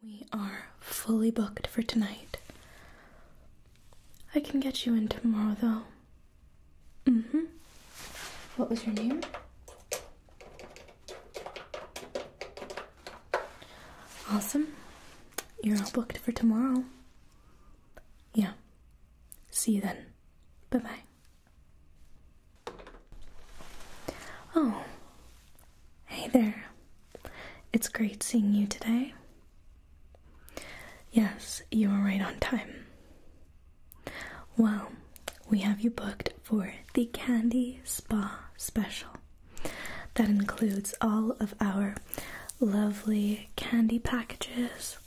We are fully booked for tonight. I can get you in tomorrow though. hmm. What was your name? Awesome. You're booked for tomorrow. Yeah. See you then. Bye bye. Oh, Hey there. It's great seeing you today. Yes, you are right on time. Well, we have you booked for the Candy Spa Special. That includes all of our lovely candy packages.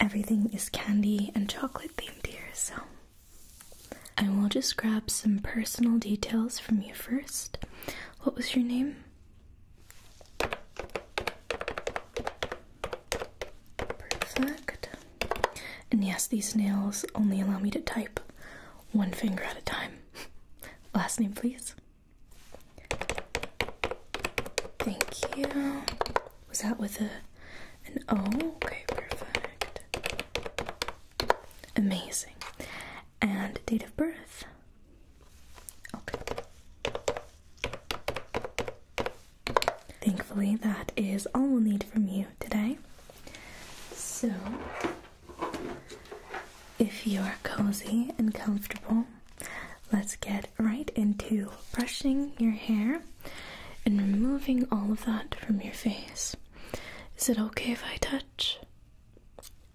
Everything is candy and chocolate themed here, so I will just grab some personal details from you first. What was your name? Perfect. And yes, these nails only allow me to type one finger at a time. Last name, please. Thank you. Was that with a an O? Okay, perfect. Amazing. And date of birth? Okay. Thankfully, that is all we'll need from you today. So, if you're cozy and comfortable, let's get right into brushing your hair and removing all of that from your face. Is it okay if I touch?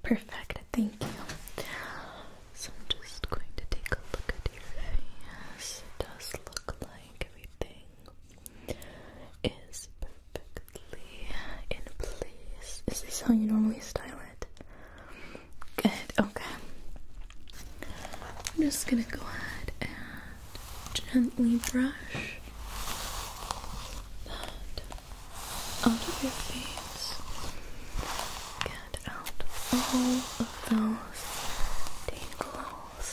Perfect, thank you. So I'm just going to take a look at your face. does look like everything is perfectly in place. Is this how you normally style it? Good, okay. I'm just gonna go ahead and gently brush out of your face. Get out all of those tingles,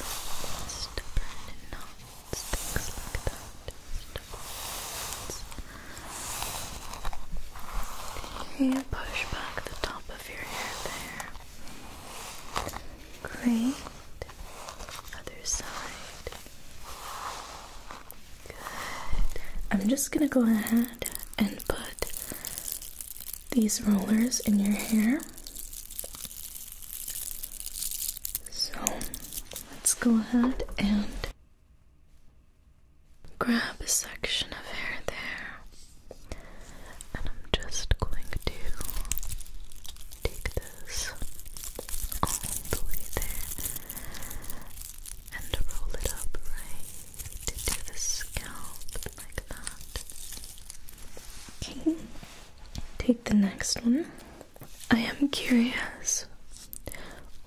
stubborn knots, things like that. push back the top of your hair Great. Other side. I'm just gonna go ahead and put these rollers in your hair. So let's go ahead and grab a section of hair there. And I'm just going to take the all the way there and roll it up right into the scalp like that. Okay. Take the next one. I am curious.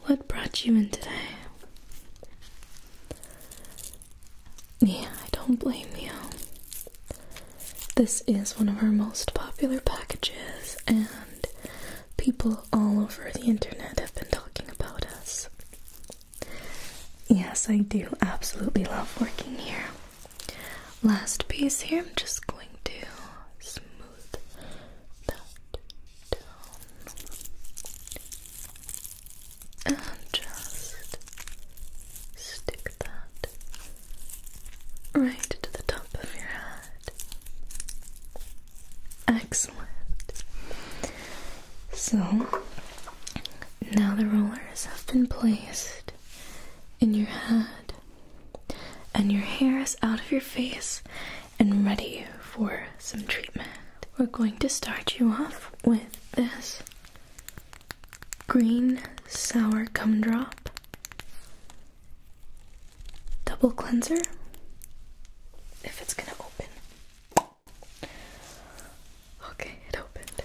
What brought you in today? Yeah, I don't blame you. This is one of our most popular packages, and people all over the internet have been talking about us. Yes, I do absolutely love working here. Last piece here, I'm just going to smooth that down and just stick that right to the top of your head. Excellent. So, now the rollers have been placed in your head, and your hair is out of your face and ready for some treatment. We're going to start you off with this green sour drop double cleanser if it's gonna open. Okay, it opened.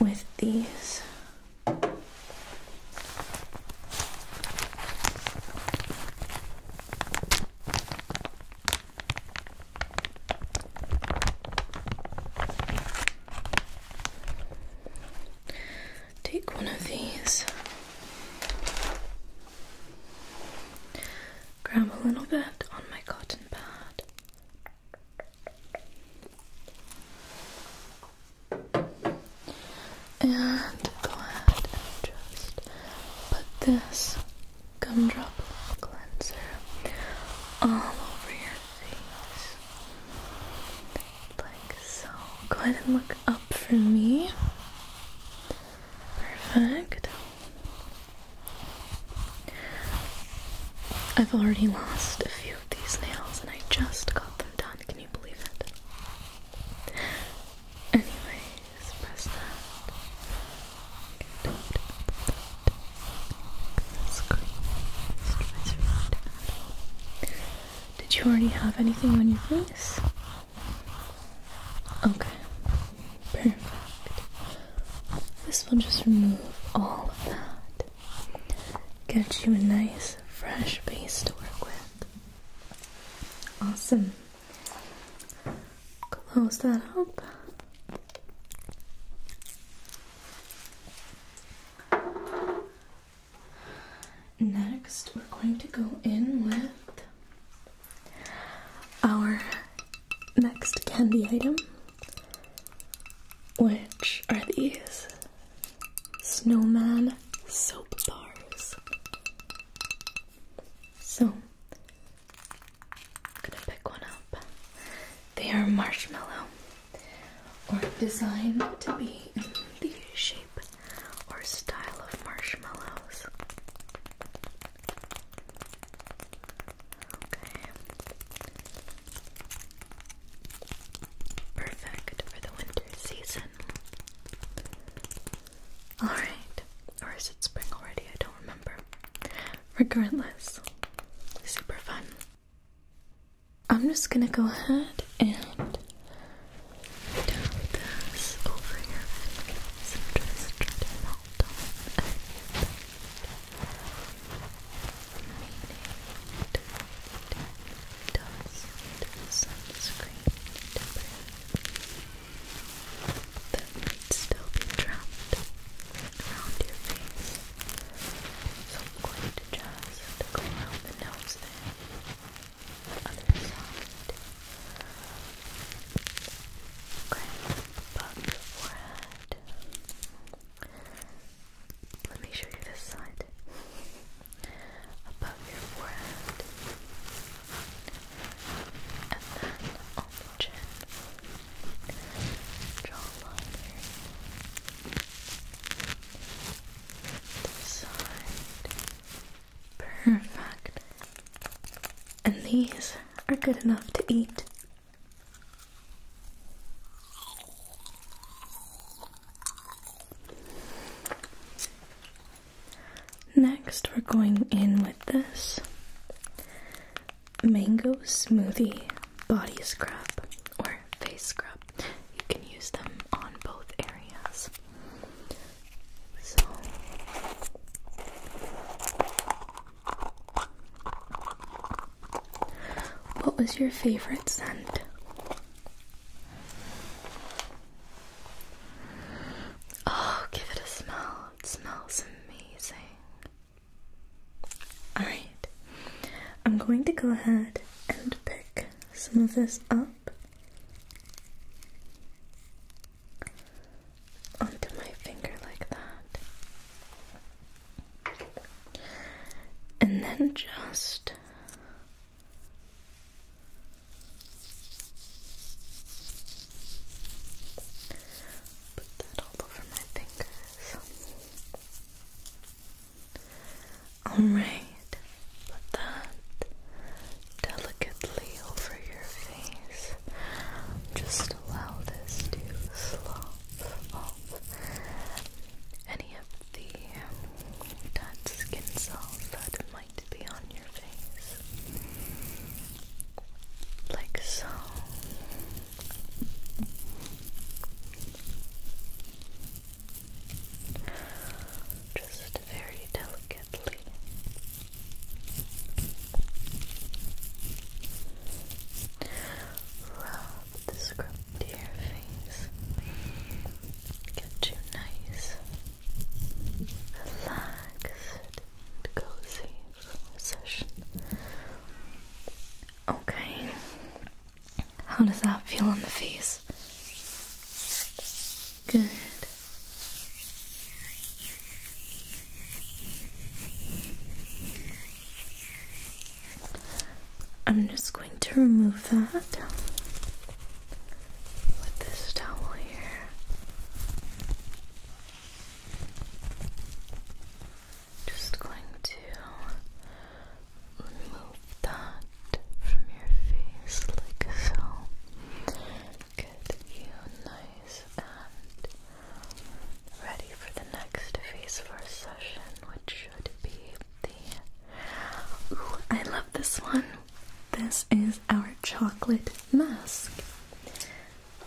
With these. Take one of these, grab a little bit on my cotton pad. And go ahead and just put this gumdrop cleanser all over here like so. Go ahead and look up for me. Perfect. I've already lost a few of these nails and I just got them done. Can you believe it? Anyways, press that. Did you already have anything on your face? Okay, perfect. This will just remove all of that. Get you a nice, fresh base to work with. Awesome. Close that up. Next, we're going to go in with our next candy item, which are these snowman soap bars. So, gonna pick one up. They are marshmallow or designed to be the shape or style of marshmallows. Okay. Perfect for the winter season. Alright. Or is it spring already? I don't remember. Regardless, super fun. I'm just gonna go ahead and dab this over your face just try to melt off any dust, sunscreen, that might still be trapped around your face. So I'm going to just go around the nose there. The other side. above the forehead. Let me show you this side. Above your forehead. And then on the chin. Draw a this side. Perfect. And these are good enough to eat. Next, we're going in with this mango smoothie body scrub or face scrub. You can use them on both areas. So what was your favorite scent? Oh, give it a smell. It smells amazing. Alright, I'm going to go ahead and pick some of this up onto my finger like that. And then just Put that all over my fingers. Alright, put that delicately over your face. Just allow this to slop off any of the dead skin cells that might be on your face. Like so. Just very delicately. Rub the scrub to your face. Get you nice, relaxed, cozy session. Okay. How does that feel on the face? Good. I'm just going to remove that with this towel here just going to remove that from your face like so. Get you nice and ready for the next face for session, which should be the. Ooh, I love this one. This is our chocolate mask.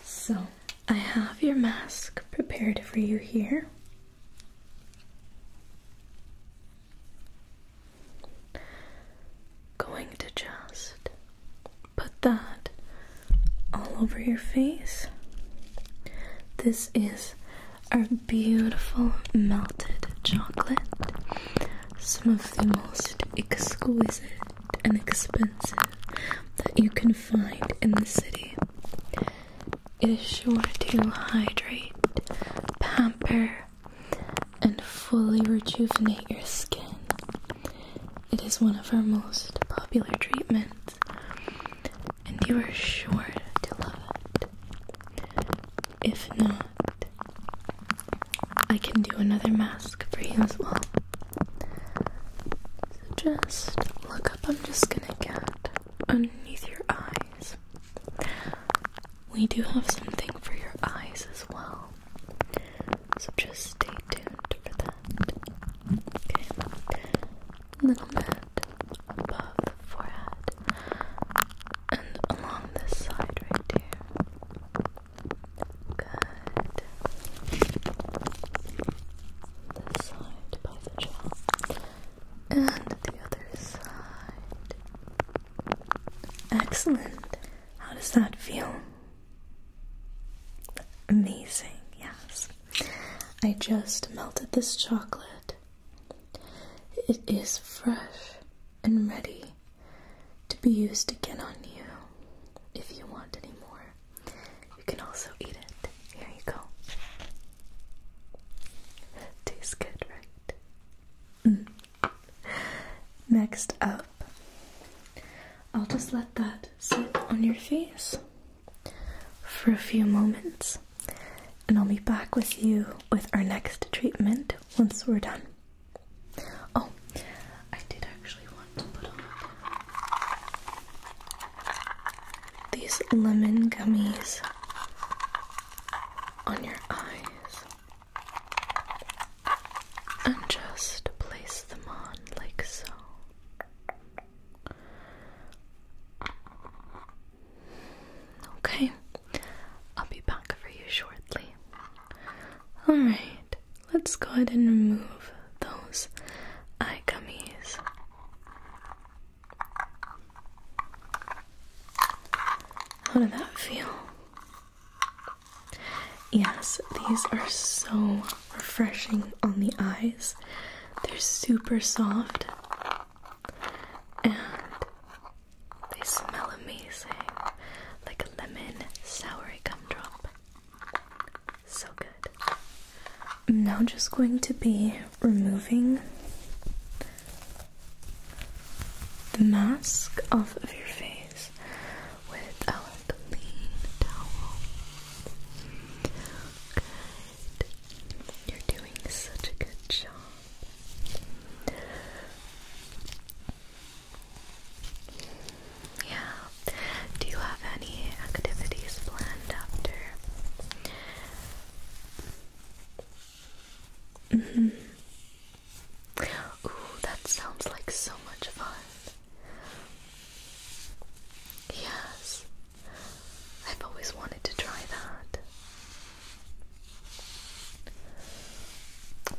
So I have your mask prepared for you here. Going to just put that all over your face. This is our beautiful melted chocolate. Some of the most exquisite and expensive that you can find in the city. It is sure to hydrate, pamper, and fully rejuvenate your skin. It is one of our most popular treatments, and you are sure to love it. If not, I can do another mask for you as well. So just look up, I'm just gonna get underneath your eyes. We do have something for your eyes as well. So just stay tuned for that. Okay. A little bit above the forehead and along this side right here. Good. This side by the jaw. And the other side. Excellent. How does that feel? Amazing, yes. I just melted this chocolate. It is fresh and ready to be used again on you if you want any more. You can also eat it. Here you go. Tastes good, right? Mm. Next up, I'll just let that sit on your face for a few moments, and I'll be back with you with our next treatment once we're done. Oh, I did actually want to put on these lemon gummies on your eyes and just place them on like so. Okay, I'll be back for you shortly. Alright, let's go ahead and remove those eye gummies. How did that feel? Yes, these are so refreshing on the eyes. They're super soft and they smell amazing like a lemon soury gumdrop. So good. I'm now just going to be removing the mask off of your face with our clean towel. You're doing such a good job. Yeah. Do you have any activities planned after? Mm-hmm. Ooh, that sounds like so much fun. Yes, I've always wanted to try that.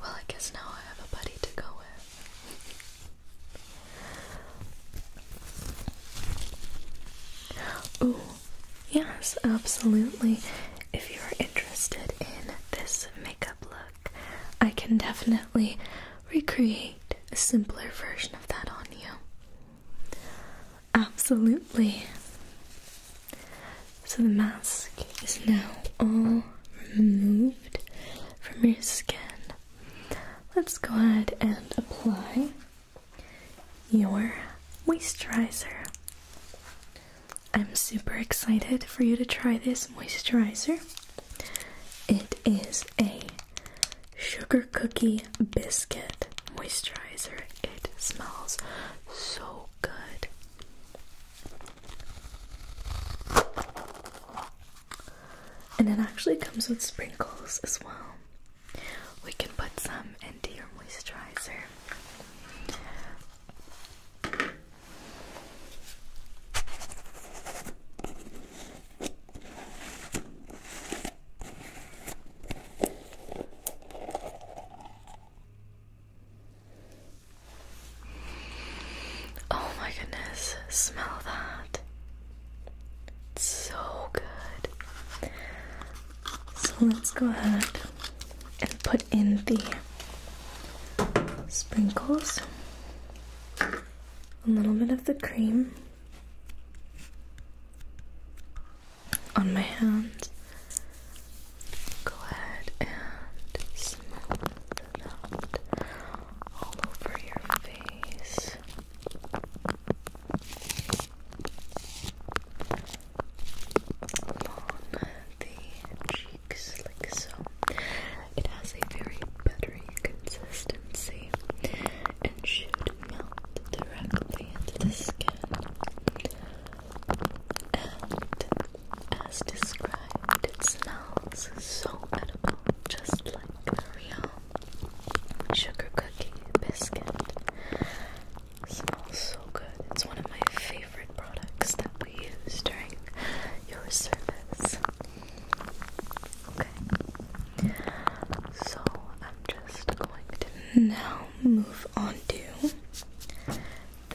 Well, I guess now I have a buddy to go with. Oh, yes, absolutely. If you're interested in this makeup look, I can definitely recreate a simpler version of that on you. Absolutely. So the mask is now all removed from your skin. Let's go ahead and apply your moisturizer. I'm super excited for you to try this moisturizer. It is a sugar cookie biscuit moisturizer. It smells so good. And it actually comes with sprinkles as well. We can put some into your moisturizer. Oh my goodness, smell that so good. So let's go ahead and put in the sprinkles, a little bit of the cream on my hand. Go ahead and smooth it out all over your face the cheeks like so. It has a very buttery consistency and should melt directly into the skin. And as described, it smells so edible, just like real sugar cookie biscuit. smells so good. It's one of my favorite products that we use during your service. Okay. So I'm just going to now move on to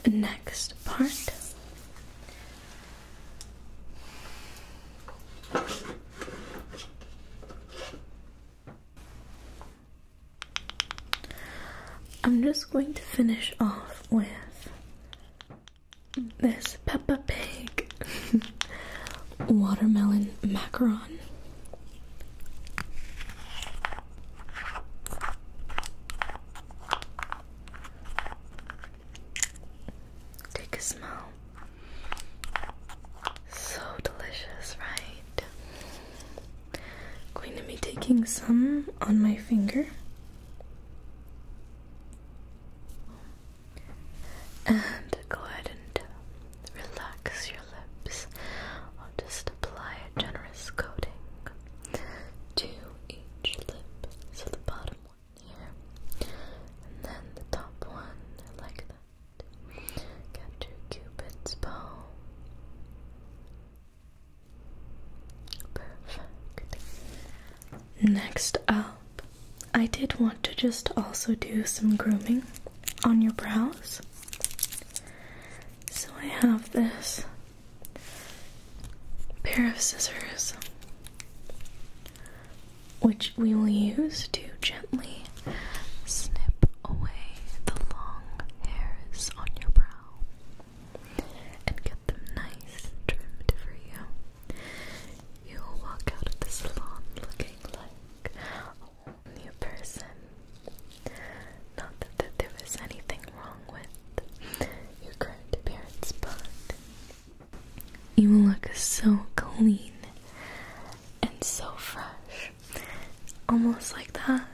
the next part. I'm just going to finish off with this Peppa Pig watermelon macaron. Take a smell. So delicious, right? I'm going to be taking some on my finger. And go ahead and relax your lips. I'll just apply a generous coating to each lip. So the bottom one here, and then the top one, like that. Capture Cupid's bow. Perfect. Next up, I did want to just also do some grooming on your brows. So I have this pair of scissors which we will use to gently snip away the long hairs on your brow and get them nice trimmed for you. You will walk out of the salon looking like a whole new person. Not that, that anything wrong with your current appearance, but you will look so clean and so fresh. Almost like that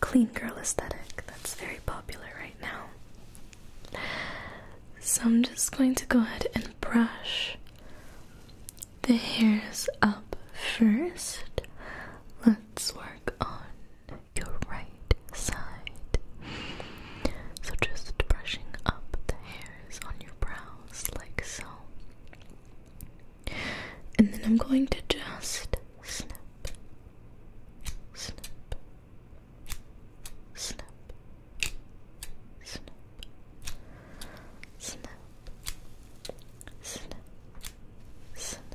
clean girl aesthetic that's very popular right now. So I'm just going to go ahead and brush the hairs up first. Let's work on your right side. So just brushing up the hair on your brows, like so. And then I'm going to just snip, snip, snip, snip, snip, snip, snip.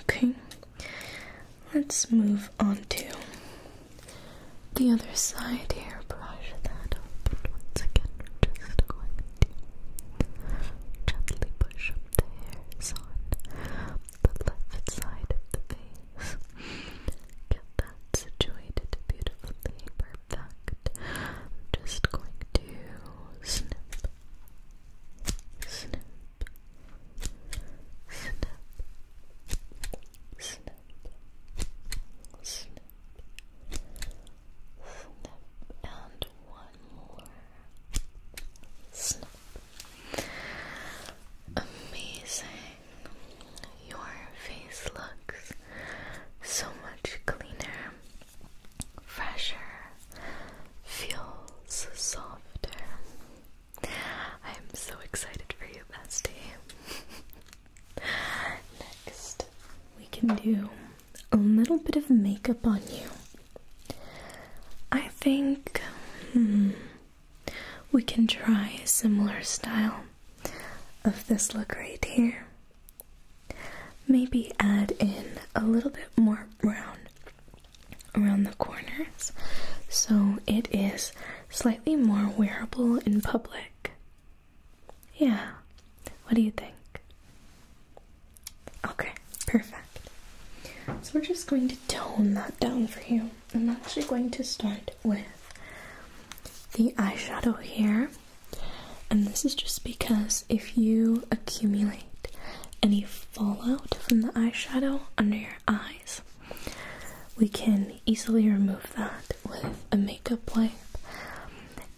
Okay, let's move on to the other side here, brush that up, once again, just going to gently push the hairs on the left side of the face. Get that situated beautifully, perfect. just going to snip, snip, snip. Snip, snip, Snip and one more. Snip. Amazing. Your face looks so much cleaner, fresher, feels softer. I'm so excited for you, bestie. Next, we can do a little bit of makeup on you. I think hmm, we can try a similar style of this look right here. Maybe add in a little bit more brown around the corners so it is slightly more wearable in public. Yeah. What do you think? Okay, perfect. So we're just going to tone that down for you. I'm actually going to start with the eyeshadow here. And this is just because if you accumulate any fallout from the eyeshadow under your eyes, we can easily remove that with a makeup wipe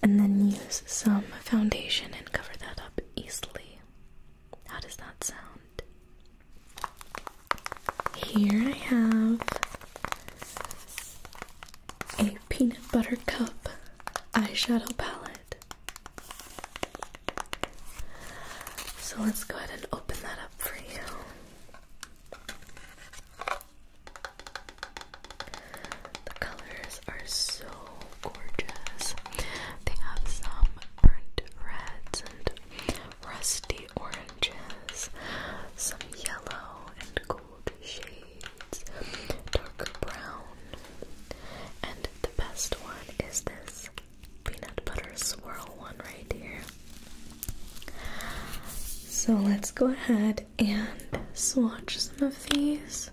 and then use some foundation and cover that up easily. How does that sound? Here I have a peanut butter cup eyeshadow palette. So let's go ahead and open that up for you. The colors are so gorgeous. They have some burnt reds and rusty oranges, some yellow and gold shades, dark brown, and the best one is this peanut butter swirl one right here. So let's go ahead and swatch some of these.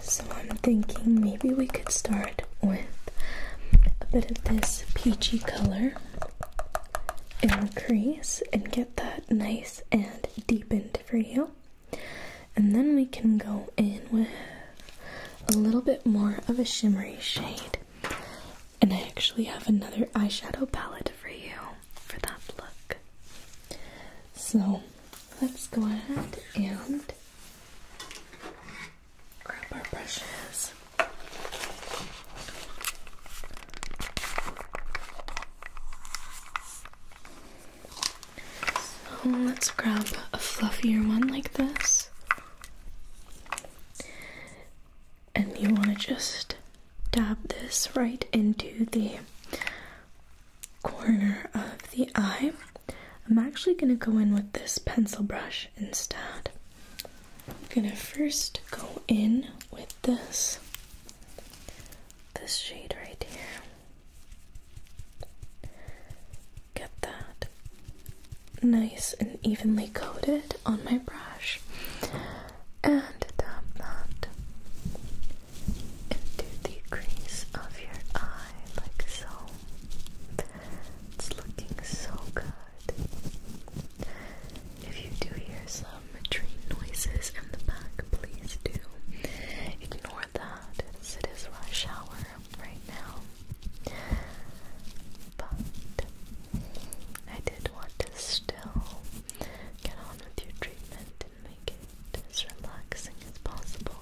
So I'm thinking maybe we could start with a bit of this peachy color in the crease and get that nice and deepened for you. And then we can go in with a little bit more of a shimmery shade. And I actually have another eyeshadow palette for you for that look. So let's go ahead and grab our brushes. So let's grab a fluffier one like this and you want to just dab this right into the corner of the eye. I'm actually going to go in with this pencil brush instead. I'm going to first go in with this this shade right here. Get that nice and evenly coated on my brush and tap that into the crease of your eye like so. It's looking so good. If you do hear some train noises in the back, please do ignore that it is rush hour right now but I did want to still get on with your treatment and make it as relaxing as possible.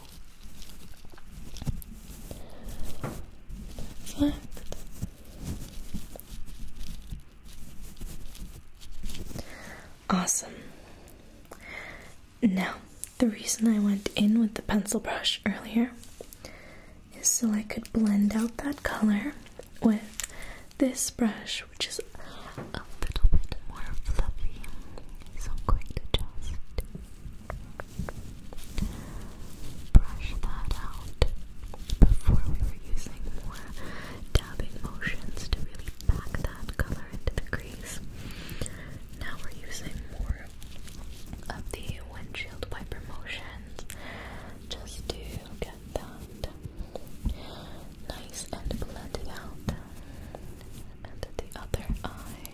That's Awesome. Now, the reason I went in with the pencil brush earlier so I could blend out that color with this brush, which is a little bit more fluffy. So I'm going to just brush that out. Before we were using more dabbing motions to really pack that color into the crease. Now we're using more of the windshield wiper motion just to get that nice and blended out. And the other eye.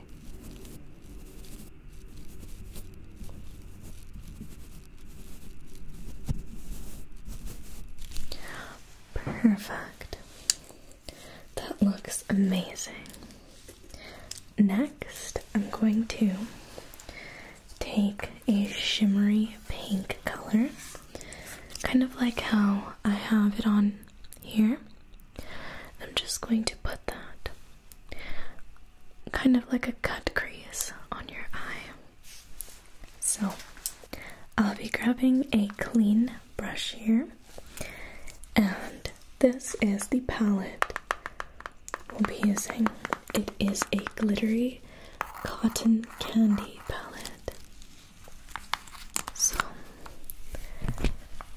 Perfect. That looks amazing. Next, I'm going to take a shimmery pink color, kind of like how I have it on here. I'm just going to put that kind of like a cut crease on your eye. So I'll be grabbing a clean brush here, and this is the palette We'll be using. It is a glittery cotton candy palette. So,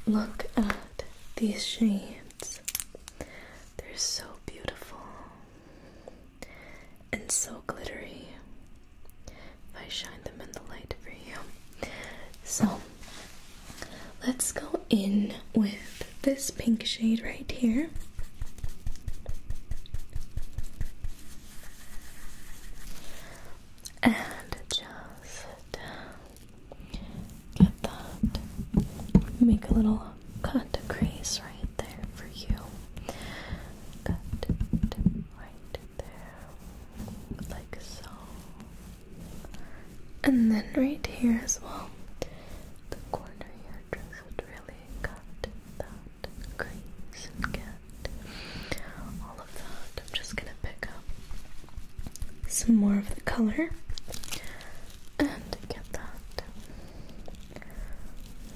look at these shades. They're so beautiful and so glittery. I shine them in the light for you. So, Let's go in with this pink shade right here. And just uh, get that. Make a little cut crease right there for you. Cut right there, like so. And then right here as well the corner here just really cut that crease and get all of that. I'm just gonna pick up some more of the color and get that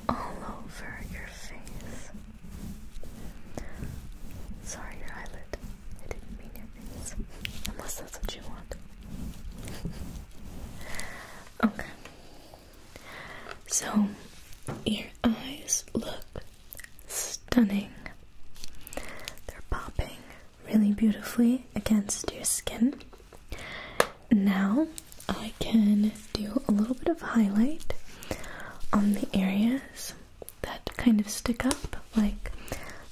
all over your face. Sorry, your eyelid. I didn't mean your face. Unless that's what you want. Okay. So, your eyes look stunning. They're popping really beautifully against your skin. Now, I can do a little bit of highlight on the areas that kind of stick up, like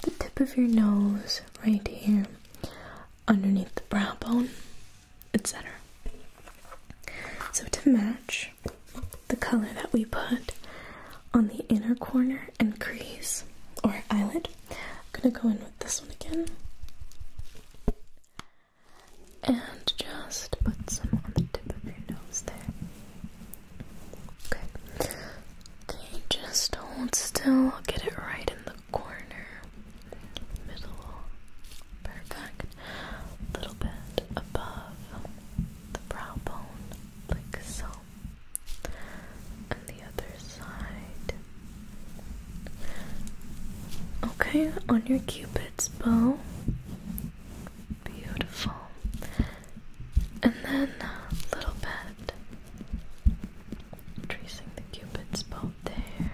the tip of your nose right here, underneath the brow bone, etc. So, to match the color that we put on the inner corner and crease or eyelid, I'm going to go in with this one again and just put some on the tip of your nose there. Okay. Okay, just hold still, get it right in the corner, middle, perfect. little bit above the brow bone, like so. And the other side. Okay, on your cupid's bow. Beautiful. And then little bit tracing the cupid's bow there.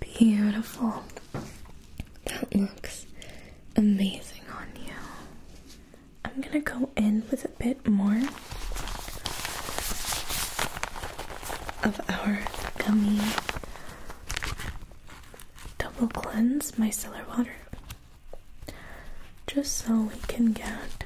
Beautiful. That looks amazing on you. I'm gonna go in with a bit more of our gummy double cleanse micellar water just so we can get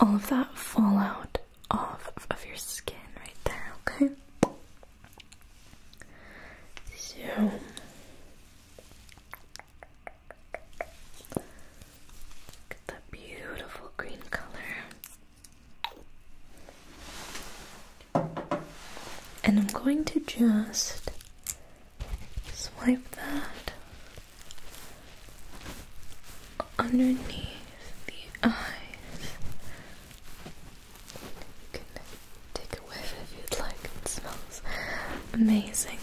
all of that fallout off of your skin right there, okay? So Look at that beautiful green color. And I'm going to just swipe that underneath the eyes. You can take a whiff if you'd like, it smells amazing.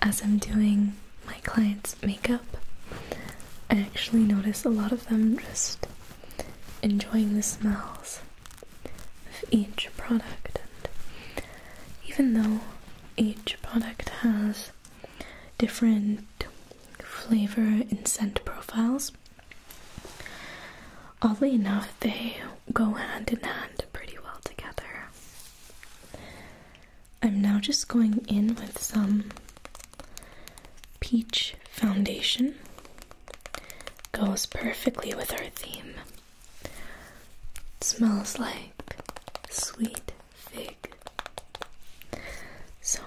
As I'm doing my clients' makeup, I actually notice a lot of them just enjoying the smells of each product and even though each product has different flavor and scent profiles oddly enough they go hand in hand pretty well together i'm now just going in with some peach foundation Goes perfectly with our theme. smells like sweet fig. So,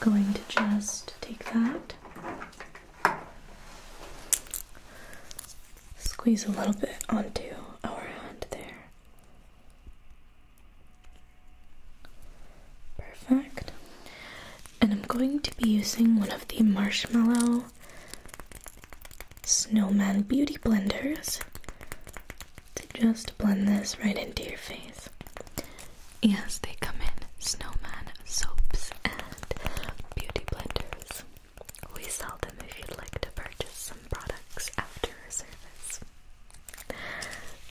going to just take that, squeeze a little bit onto our hand there. Perfect. And I'm going to be using one of the Marshmallow Snowman Beauty Blenders to just blend this right into your face. Yes, they come in snowman soaps and beauty blenders. We sell them if you'd like to purchase some products after our service.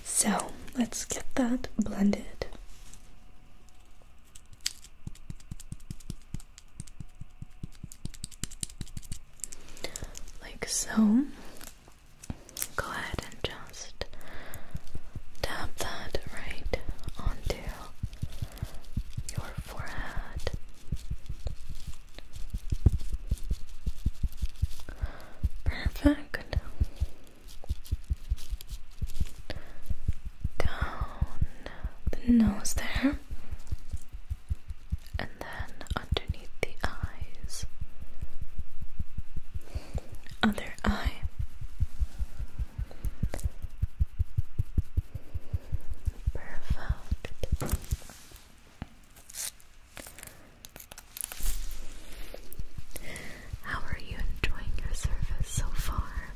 So let's get that blended. Like so. Go ahead and just tap that right onto your forehead. Perfect down the nose there, and then underneath the eyes, other eye. Perfect. How are you enjoying your service so far?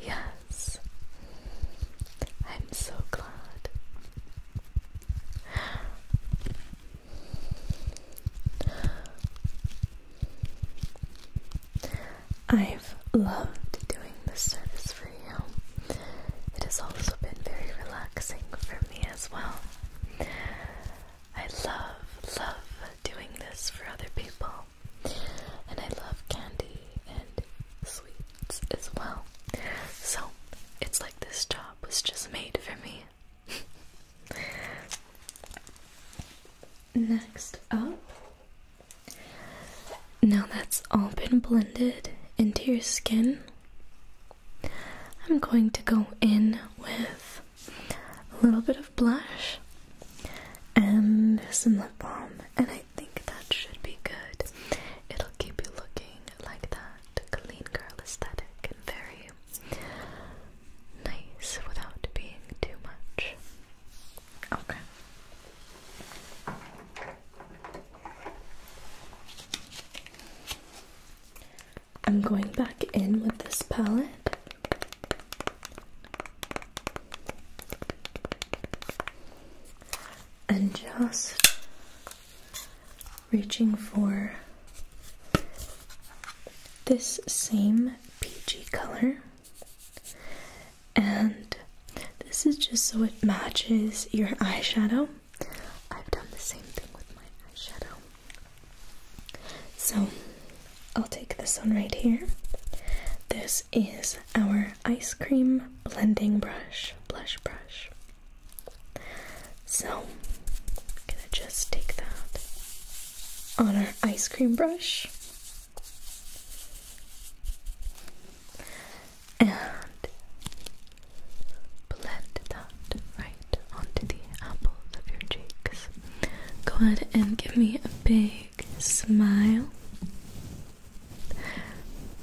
Yes, I'm so glad. I've loved doing this service for you. It has also been very relaxing for me as well. I love, love doing this for other people. And I love candy and sweets as well. So it's like this job was just made for me. Next up. Oh. Now that's all been blended into your skin, I'm going to go in with a little bit of blush and some lip balm, and I think that should be good. It'll keep you looking like that clean girl aesthetic and very nice without being too much. Okay. I'm going back in with this palette. And just reaching for this same peachy color. And this is just so it matches your eyeshadow. I've done the same thing with my eyeshadow. So I'll take this one right here. This is our ice cream blending brush, blush brush. So I'm gonna just take that on our ice cream brush. And Blend that right onto the apples of your cheeks. Go ahead and give me a big smile.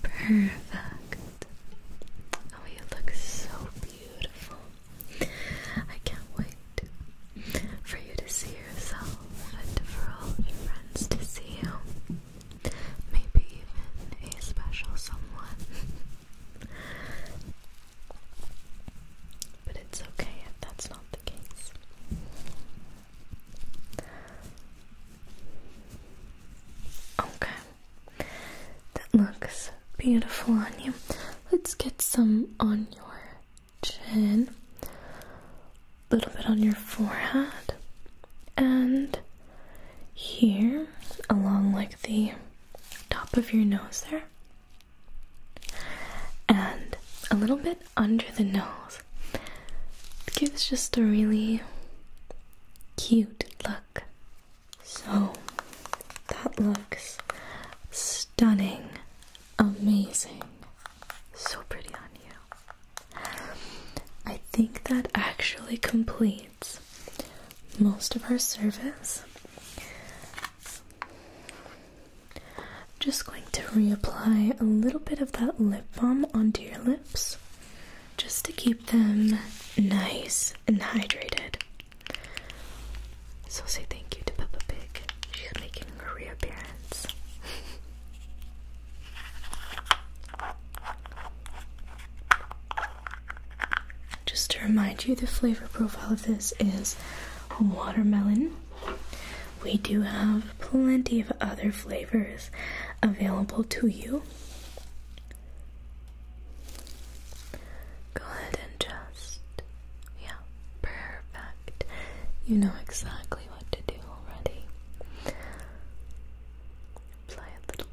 Perfect. Oh, you look so beautiful. I can't wait for you to see yourself and for all your friends to see you. Maybe even a special someone. But it's okay if that's not the case. Okay. That looks beautiful on you. Let's get some on your chin, a little bit on your forehead, and here along like the top of your nose there and a little bit under the nose. gives just a really cute look. So that looks stunning, amazing, so pretty on you. I think that actually completes most of our service. I'm just going to reapply a little bit of that lip balm onto your lips just to keep them nice and hydrated. So, say thank you to Peppa Pig. She's making her reappearance. Just to remind you, the flavor profile of this is watermelon. We do have plenty of other flavors available to you. Go ahead and just, yeah, perfect. You know exactly what to do already. Apply a little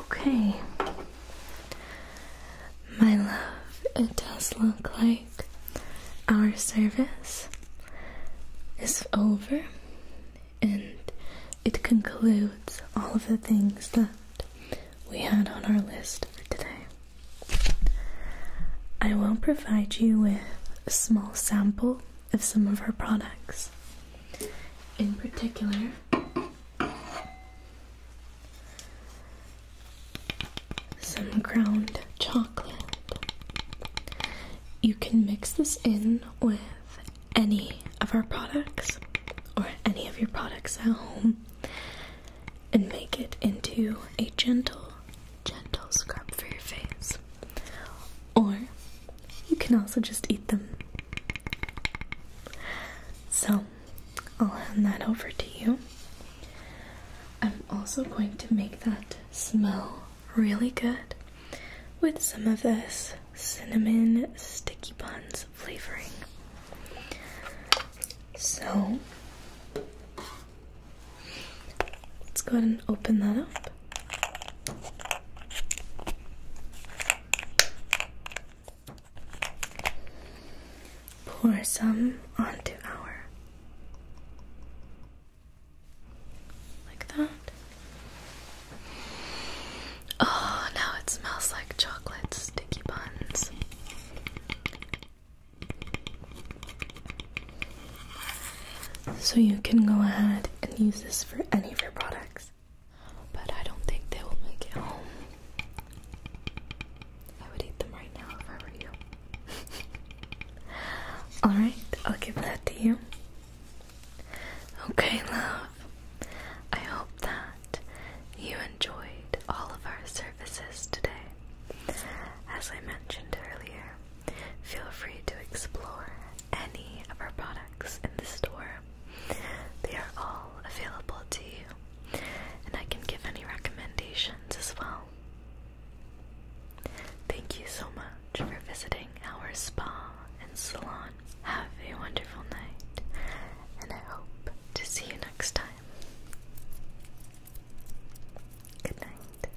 Okay, my love, it does look like our service is over and it concludes all of the things that we had on our list for today. I will provide you with a small sample of some of our products in particular. Some ground chocolate. You can mix this in with any of our products or any of your products at home and make it into a gentle, gentle scrub for your face. Or you can also just eat them so I'll hand that over to you. I'm also going to make that smell really good with some of this cinnamon sticky buns flavoring. So let's go ahead and open that up. Pour some onto our like that. Oh, now it smells like chocolate sticky buns. So you can go ahead and use this for any of your products. But I don't think they will make it home. I would eat them right now if I were you. Alright, I'll give that to you. Okay, love. I hope that you enjoyed all of our services today. As I mentioned earlier, feel free to explore any of our products in the store. They are all available to you, and I can give any recommendations as well. Thank you so much for visiting our spa and salon. Have a wonderful night, and I hope to see you next time. Good night.